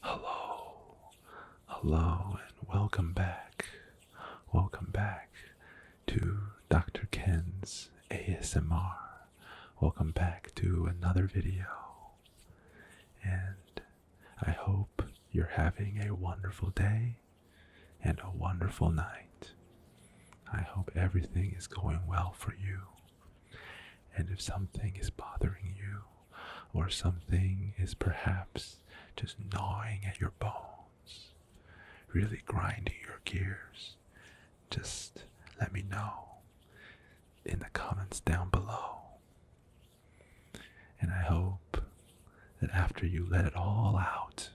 Hello, hello, and welcome back. Welcome back to Dr. Ken's ASMR. Welcome back to another video. And I hope you're having a wonderful day and a wonderful night. I hope everything is going well for you. And if something is bothering you, or something is perhaps just gnawing at your bones, really grinding your gears, just let me know in the comments down below. And I hope that after you let it all out,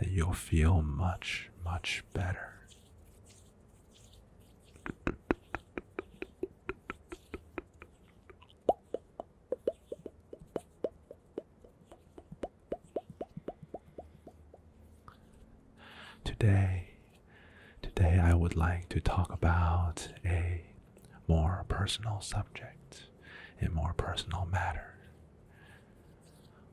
that you'll feel much, much better. Today, today I would like to talk about a more personal subject, a more personal matter.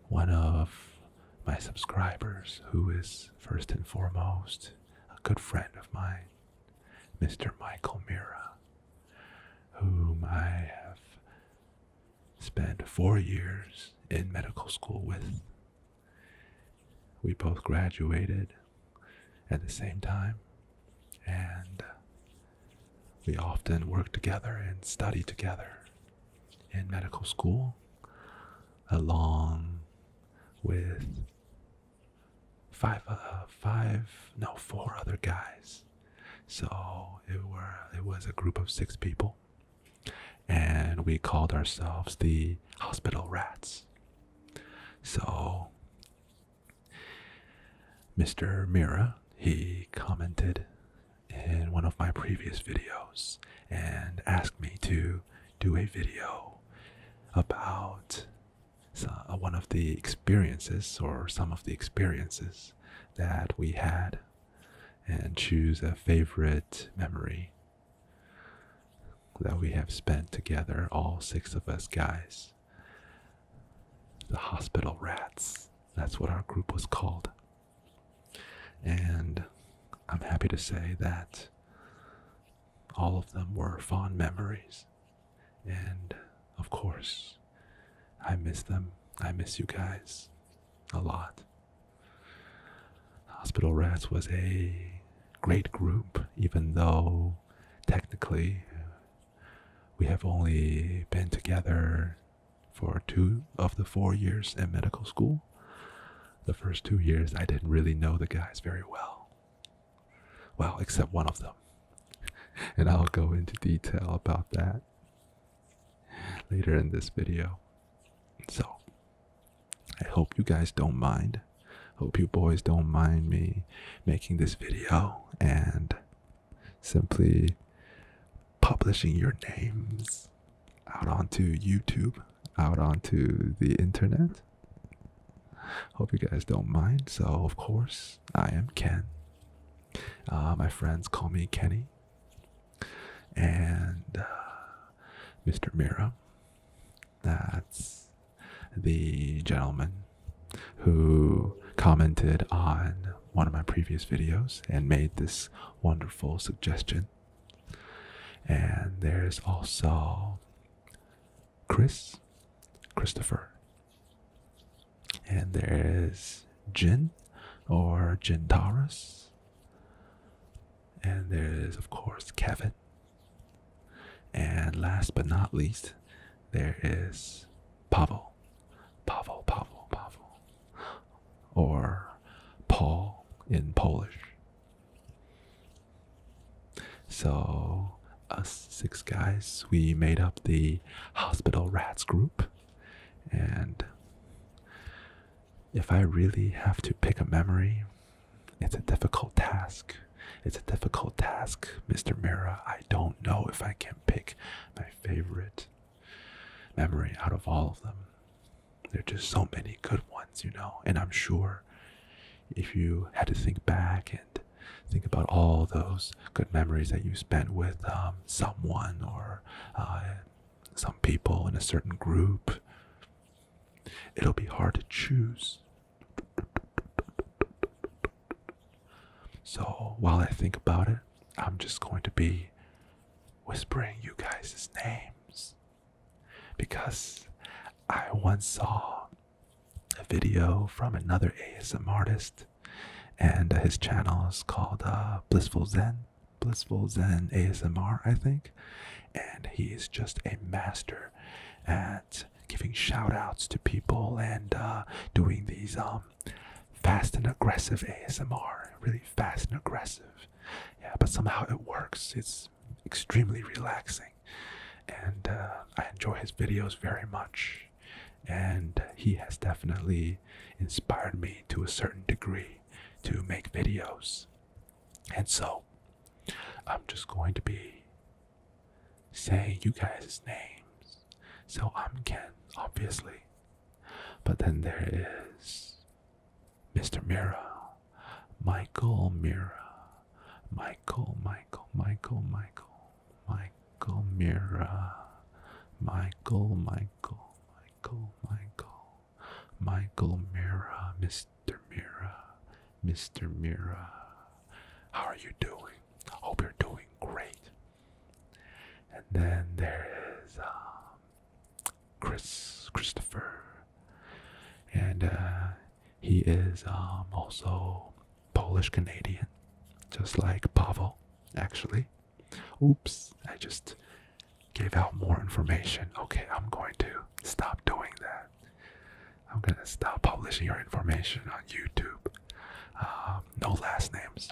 One of my subscribers, who is first and foremost a good friend of mine, Mr. Michael Mira, whom I have spent four years in medical school with. We both graduated at the same time, and we often work together and study together in medical school along with five uh, five no four other guys so it were it was a group of six people and we called ourselves the hospital rats so mr mira he commented in one of my previous videos and asked me to do a video about uh, one of the experiences or some of the experiences that we had and choose a favorite memory that we have spent together, all six of us guys. The hospital rats. That's what our group was called. And I'm happy to say that all of them were fond memories. And of course, I miss them. I miss you guys a lot. Hospital Rats was a great group, even though technically we have only been together for two of the four years in medical school. The first two years, I didn't really know the guys very well. Well, except one of them. And I'll go into detail about that later in this video. So, I hope you guys don't mind. Hope you boys don't mind me making this video and simply publishing your names out onto YouTube, out onto the internet. Hope you guys don't mind. So, of course, I am Ken. Uh, my friends call me Kenny. And uh, Mr. Mira. That's the gentleman who commented on one of my previous videos and made this wonderful suggestion and there's also Chris, Christopher. And there is Jin or Jintaurus. And there is, of course, Kevin. And last but not least, there is Pavel. Pavel, Pavel, Pavel or Paul in Polish. So, us six guys, we made up the Hospital Rats group. And if I really have to pick a memory, it's a difficult task. It's a difficult task, Mr. Mira. I don't know if I can pick my favorite memory out of all of them. There are just so many good ones, you know. And I'm sure if you had to think back and think about all those good memories that you spent with um, someone or uh, some people in a certain group, it'll be hard to choose. So while I think about it, I'm just going to be whispering you guys' names because I once saw a video from another ASMR artist, and his channel is called uh, Blissful Zen, Blissful Zen ASMR, I think, and he is just a master at giving shoutouts to people and uh, doing these um fast and aggressive ASMR, really fast and aggressive yeah but somehow it works it's extremely relaxing and uh, i enjoy his videos very much and he has definitely inspired me to a certain degree to make videos and so i'm just going to be saying you guys names so i'm ken obviously but then there is Mr. Mira, Michael Mira, Michael, Michael, Michael, Michael, Michael Mira, Michael, Michael, Michael, Michael, Michael Mira, Mr. Mira, Mr. Mira. How are you doing? Hope you're doing great. And then there is um, Chris Christopher, and uh, he is um, also Polish Canadian, just like Pavel. Actually, oops, I just gave out more information. Okay, I'm going to stop doing that. I'm gonna stop publishing your information on YouTube. Um, no last names.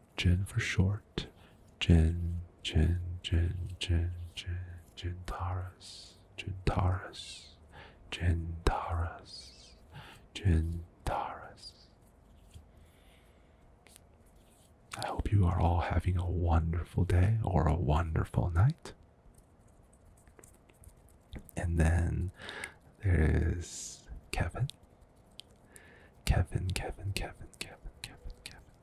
Jen for short. Jen, Jen, Jen, Jen, Jen, Gentaurus, Gentaurus, Gentaurus, Gentaurus. I hope you are all having a wonderful day or a wonderful night. And then there is Kevin. Kevin, Kevin, Kevin, Kevin, Kevin, Kevin,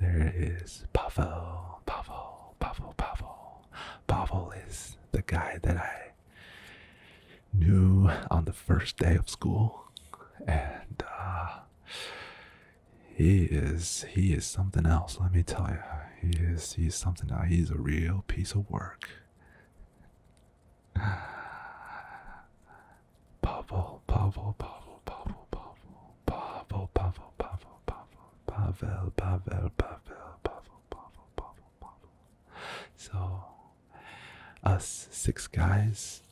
there is Pavel, Pavel, Pavel, Pavel. Pavel is the guy that I knew on the first day of school, and uh, he is he is something else. Let me tell you, he is he is something else. He's a real piece of work. Pavel, Pavel, Pavel, Pavel, Pavel. Pavel, Pavel, Pavel, Pavel, Pavel, Pavel, Pavel, Pavel, Pavel, Pavel, So, us six guys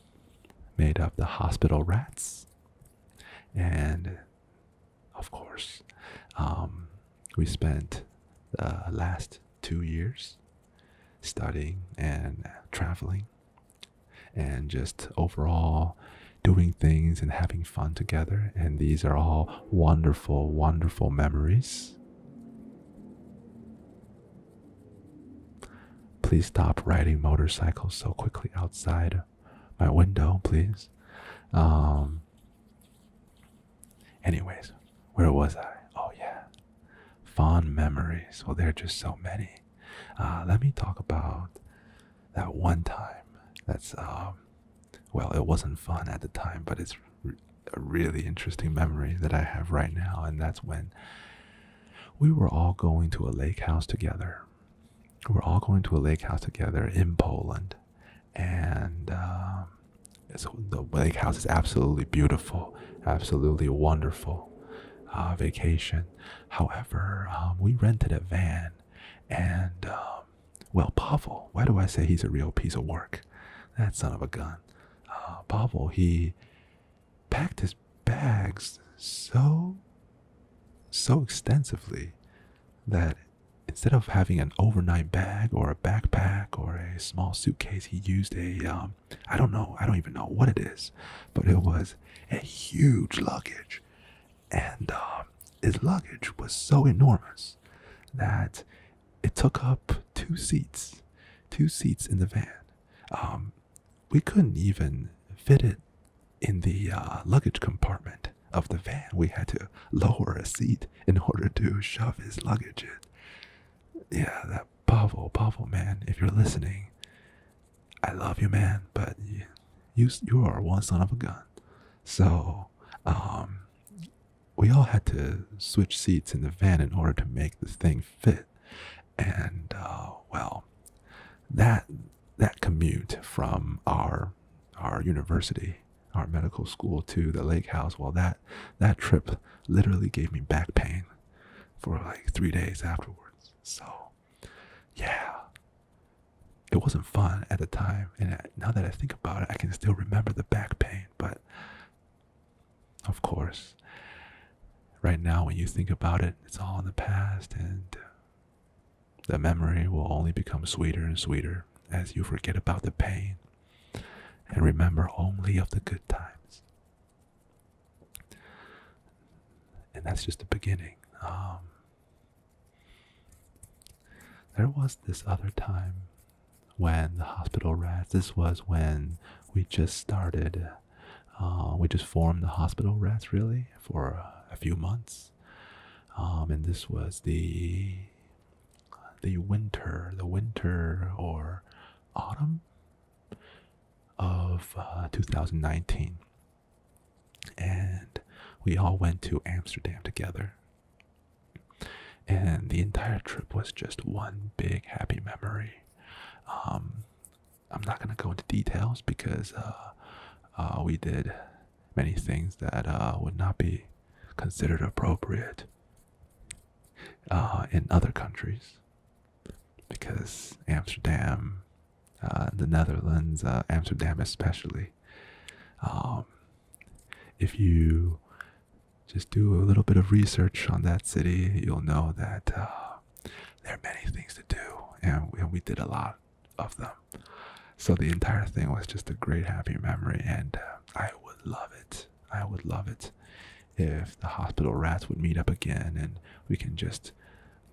made up the hospital rats, and of course, we spent the last two years studying and traveling and just overall doing things and having fun together. And these are all wonderful, wonderful memories. Please stop riding motorcycles so quickly outside my window, please. Um, anyways, where was I? Oh, yeah. Fond memories. Well, there are just so many. Uh, let me talk about that one time. That's um, well, it wasn't fun at the time, but it's a really interesting memory that I have right now, and that's when we were all going to a lake house together. We're all going to a lake house together in Poland, and um, so the lake house is absolutely beautiful, absolutely wonderful uh, vacation. However, um, we rented a van and, um, well, Pavel, why do I say he's a real piece of work? That son of a gun. Uh, Pavel, he packed his bags so, so extensively that instead of having an overnight bag or a backpack or a small suitcase, he used a um, don't know, I don't even know what it is, but it was a huge luggage and um, his luggage was so enormous that it took up two seats, two seats in the van. Um, we couldn't even fit it in the uh, luggage compartment of the van. We had to lower a seat in order to shove his luggage in. Yeah, that Pavel, Pavel, man, if you're listening, I love you, man, but you you, are one son of a gun. So um, we all had to switch seats in the van in order to make the thing fit. And uh, well, that that commute from our our university, our medical school to the lake house, well that that trip literally gave me back pain for like three days afterwards. So yeah. It wasn't fun at the time, and now that I think about it, I can still remember the back pain. But of course, right now, when you think about it, it's all in the past, and uh, the memory will only become sweeter and sweeter as you forget about the pain and remember only of the good times. And that's just the beginning. Um, there was this other time when the hospital rats, this was when we just started, uh, we just formed the hospital rats really for a few months. Um, and this was the the winter, the winter or autumn of uh, 2019 and we all went to Amsterdam together. And the entire trip was just one big happy memory. Um, I'm not gonna go into details because uh, uh, we did many things that uh, would not be considered appropriate in other countries because Amsterdam uh, the Netherlands, uh, Amsterdam especially. Um, if you just do a little bit of research on that city, you'll know that uh, there are many things to do, and we, and we did a lot of them. So the entire thing was just a great happy memory, and I would love it. I would love it if the hospital rats would meet up again, and we can just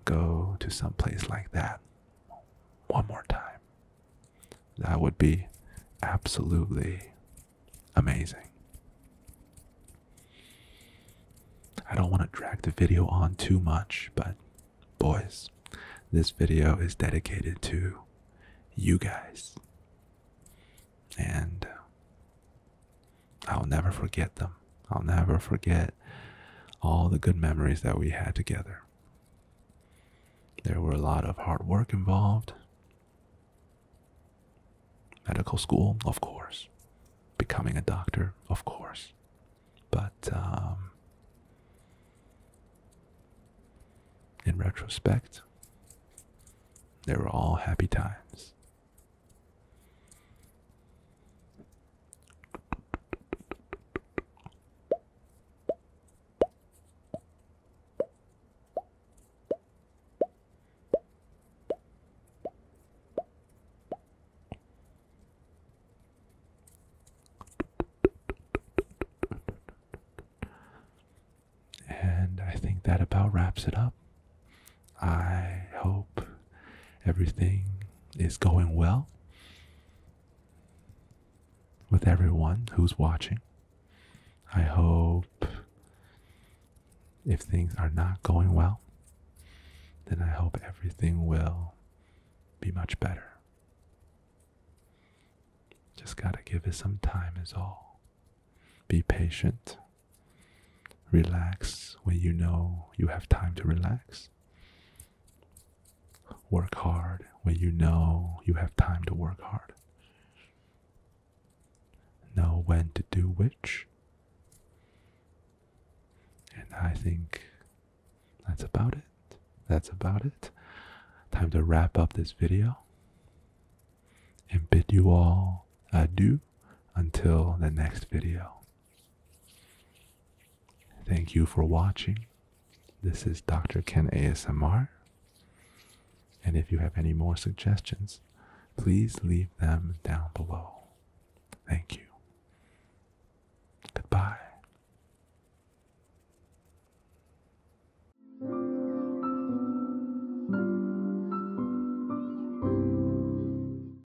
go to some place like that one more time. That would be absolutely amazing. I don't want to drag the video on too much, but boys, this video is dedicated to you guys. And I'll never forget them. I'll never forget all the good memories that we had together. There were a lot of hard work involved. Medical school, of course. Becoming a doctor, of course. But um, in retrospect, they were all happy times. And I think that about wraps it up. I hope everything is going well with everyone who's watching. I hope if things are not going well, then I hope everything will be much better. Just gotta give it some time, is all. Be patient. Relax when you know you have time to relax. Work hard when you know you have time to work hard. Know when to do which. And I think that's about it. That's about it. Time to wrap up this video and bid you all adieu until the next video. Thank you for watching. This is Dr. Ken ASMR. And if you have any more suggestions, please leave them down below. Thank you. Goodbye.